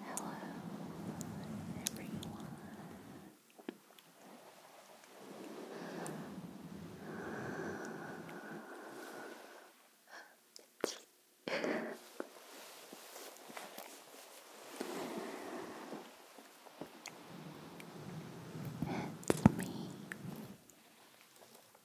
Hello, everyone. it's me,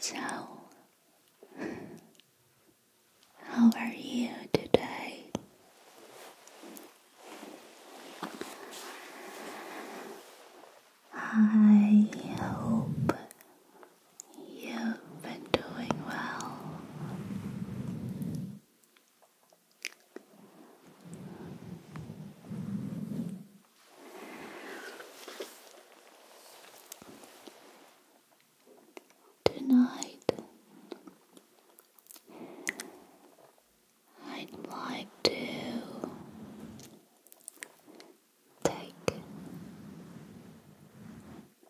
Ciao. How are you today? I hope you've been doing well. Tonight, I'd like to take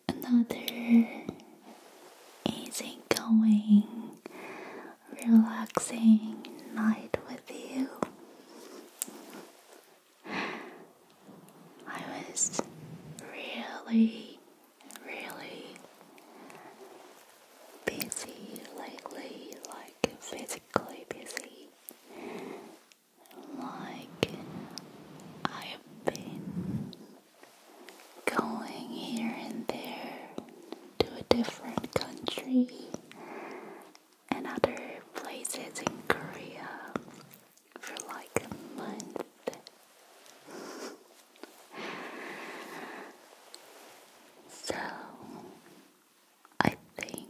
another easy going, relaxing night with you. I was really, really busy lately, like physically busy. Like, I've been going here and there to a different country and other places in Korea for like a month. so I think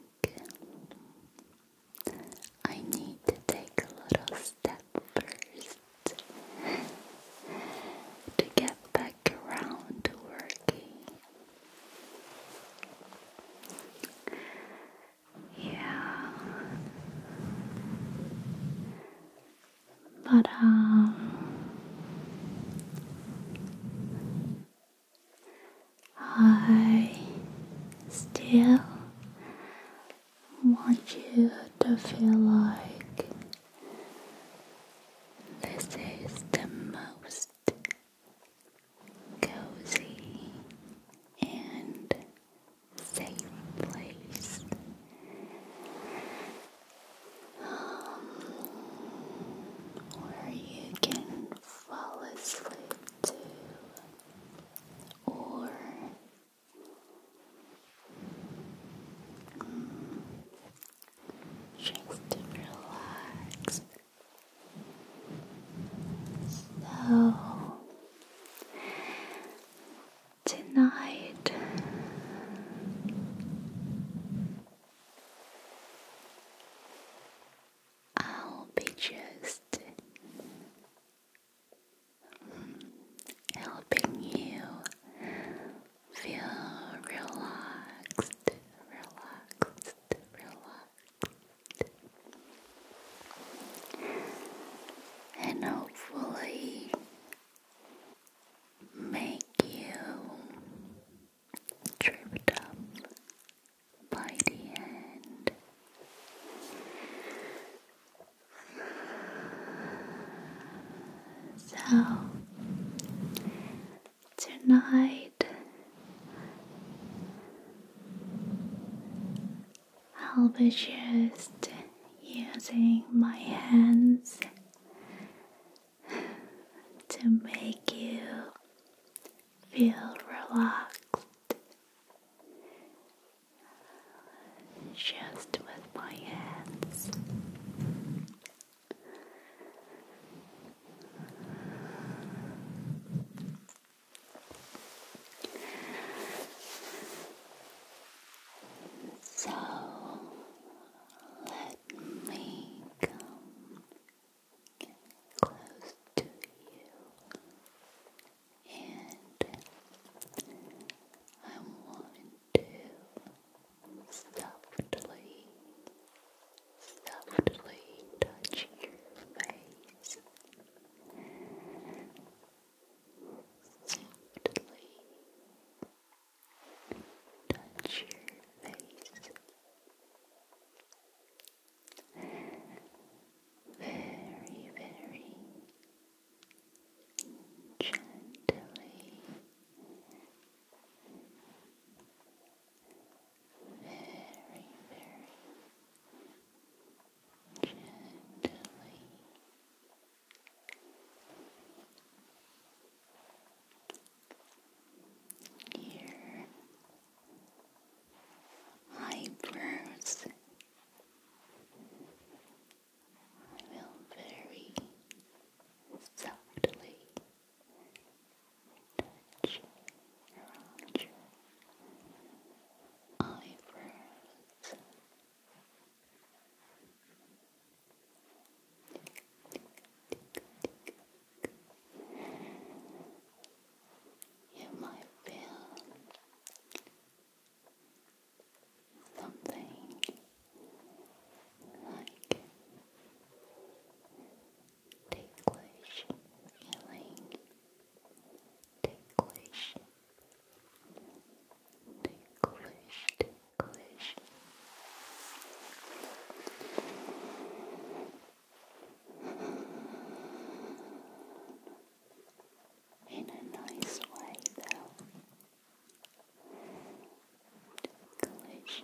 I need to take a little step first to get back around to working yeah. But, um, I still want you to feel like this is the most cozy and safe place. Um, where you can fall asleep to or um, just relax so tonight I'll be just helping you feel relaxed, relaxed, relaxed and hopefully make you tripped up by the end. So Tonight, I'll be just using my hands to make you feel relaxed. Just with my hands. So let me come close to you, and I want to softly softly touch your face. Softly touch your face. Very, very gently very, very gently. Your eyebrows. I will very softly touch around your eyebrows. You might feel something like ticklish feeling, ticklish, ticklish, ticklish. In a nice way, though. Ticklish, ticklish,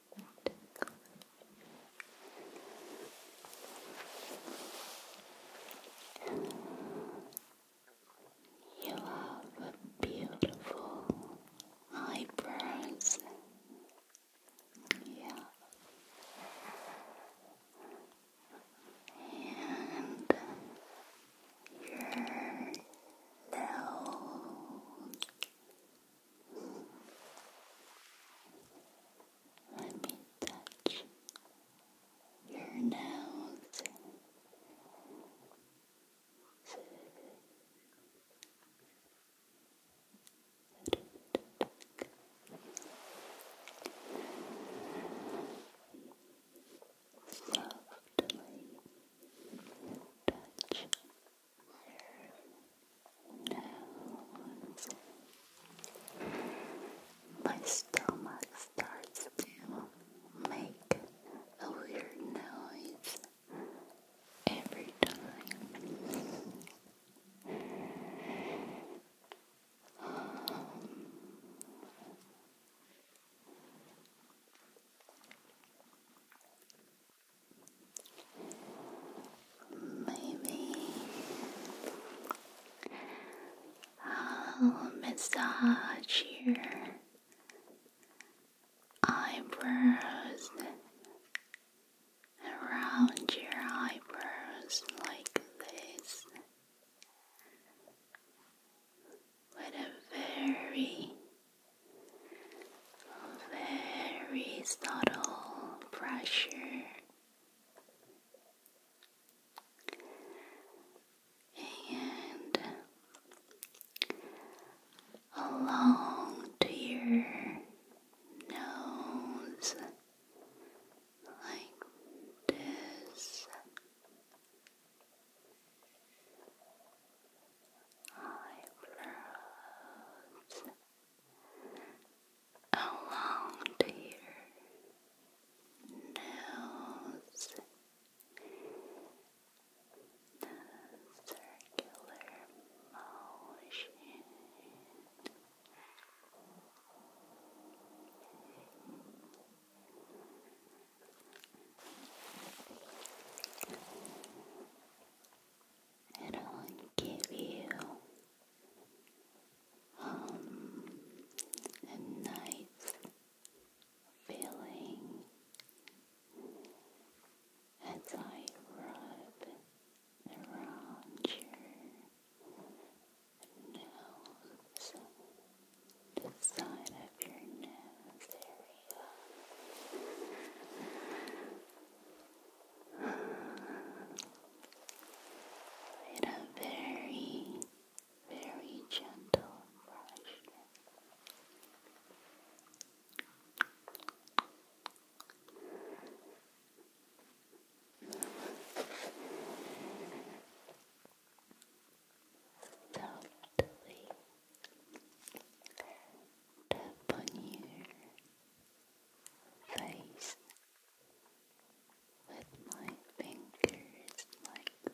You have beautiful eyebrows. Yeah. And your nose. Let me touch your nose. Softly touch my stomach starts to make a weird noise every time. Maybe I'll oh, massage your eyebrows around your eyebrows like this with a very very subtle pressure and along to your nose like this. Eyebrows along to your nose, circular motion. I will give you um, a nice feeling as I rub around your nose, the side of your nose area with a very, very gentle brush. Totally tap on your face with my fingers like this.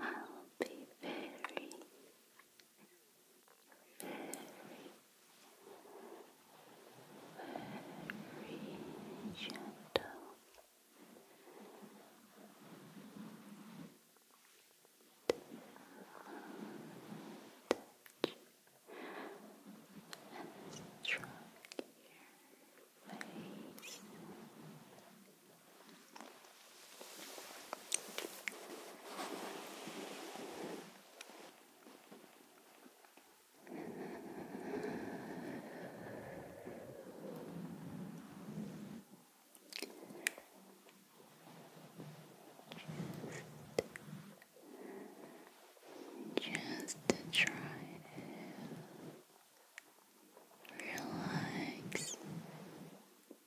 I'll be very, very, very gentle touch and stroke your face just to try and relax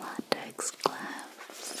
latex gloves. So.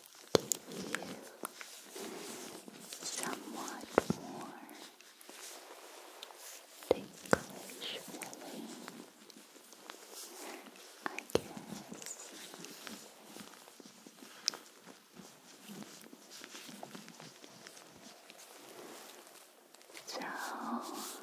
somewhat more ticklish I guess. So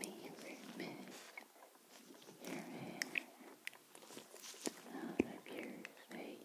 Maybe remove your hair out of your face. Maybe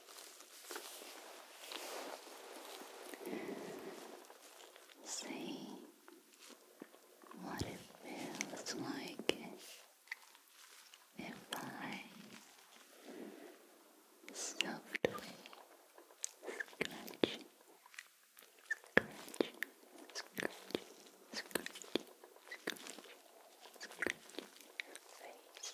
See what it feels like if I softly scratch, scratch, scratch, scratch, scratch, scratch, scratch, face.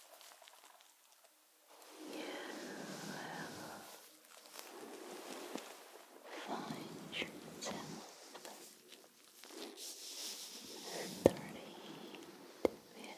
You will find yourself starting to feel drowsy. Even without realizing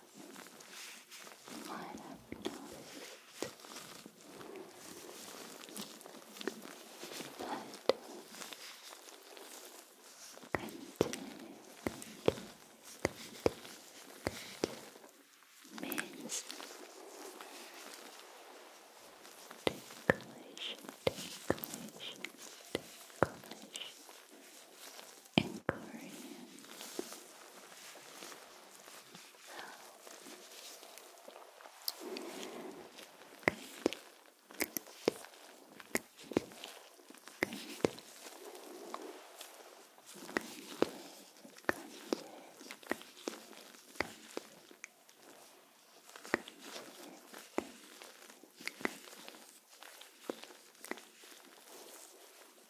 right up to it. But continue, continue, continue, continue. means Decoration, decoration, decoration in Korean. So, good. Good. Good. Good. Good.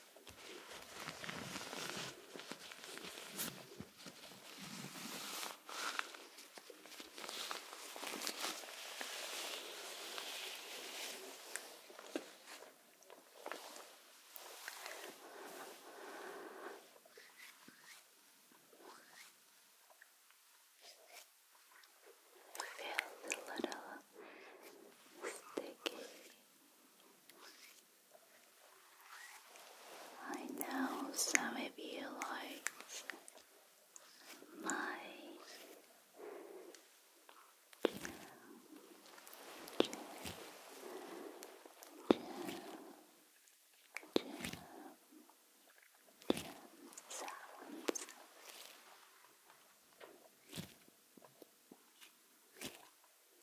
Feels a little sticky. I know some of you like my sounds.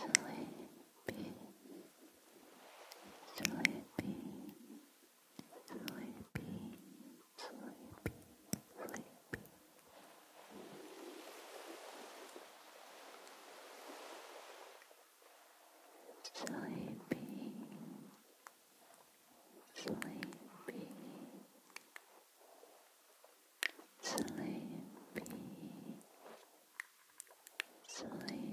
Sleepy, sleepy, sleepy, sleepy, sleepy sleepy, sleepy, sleepy, sleepy, sleepy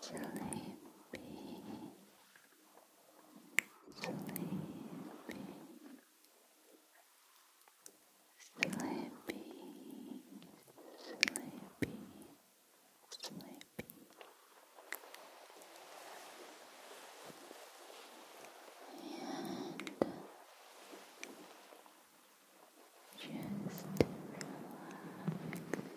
sleepy, sleepy, sleepy, sleepy, sleepy. And just relax.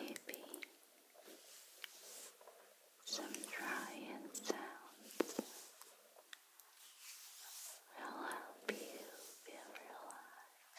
Maybe some drying sounds will help you feel relaxed.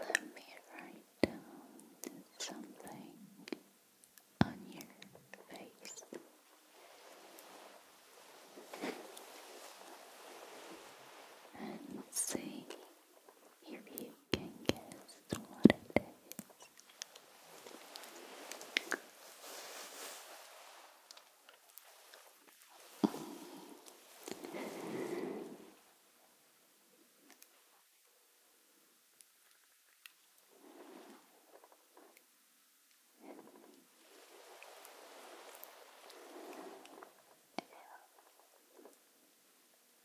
Let me write down something on your face. And see if you can guess what it is.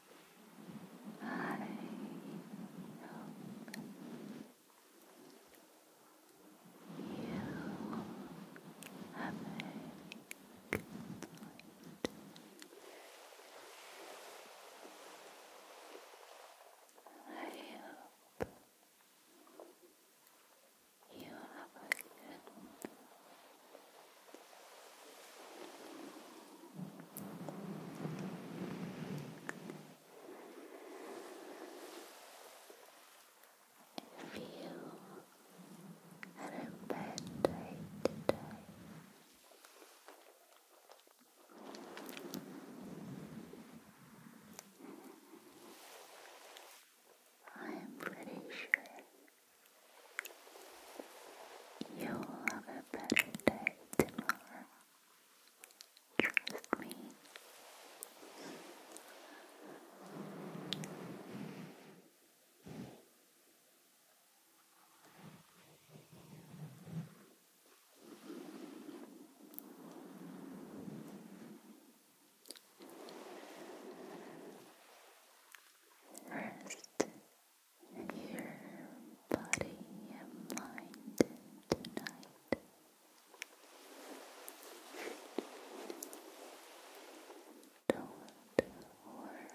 I hope you have a good night. I hope you have a good if you had a bad day today, I'm pretty sure You'll have a better day tomorrow. Trust me. Rest your body and mind tonight. Don't worry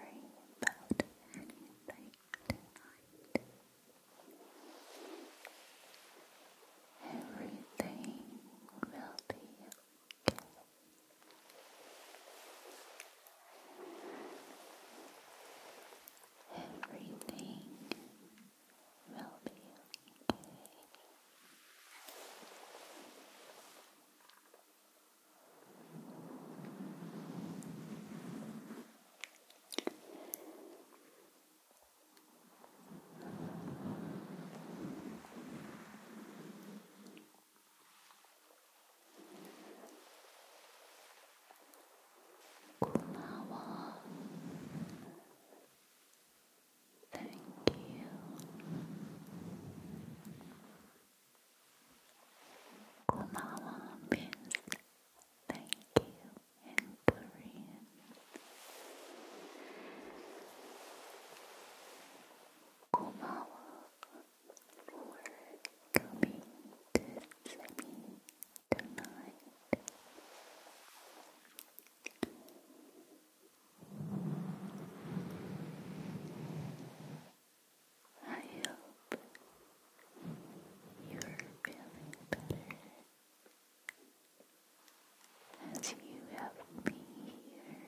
about anything tonight. Everything will be okay. Everything will be okay. Relax. こんばんは Thank you こんばんは Miss Thank you in Korean 고마워 for coming to see me tonight. I hope you're feeling better as you have me here.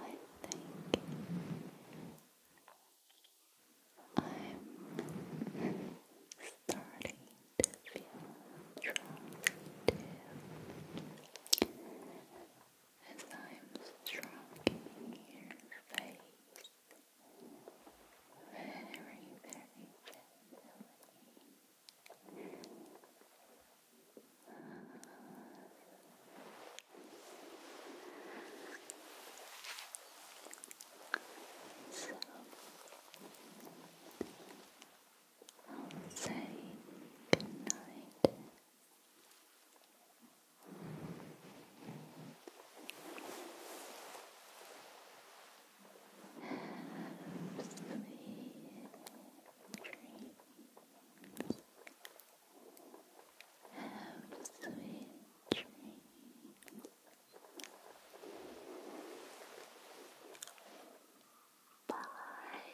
I think I'm starting to feel drowsy as I'm stroking your face very, very gently. So I'll say good night. Have sleep dreams. Have sweet dreams. Bye.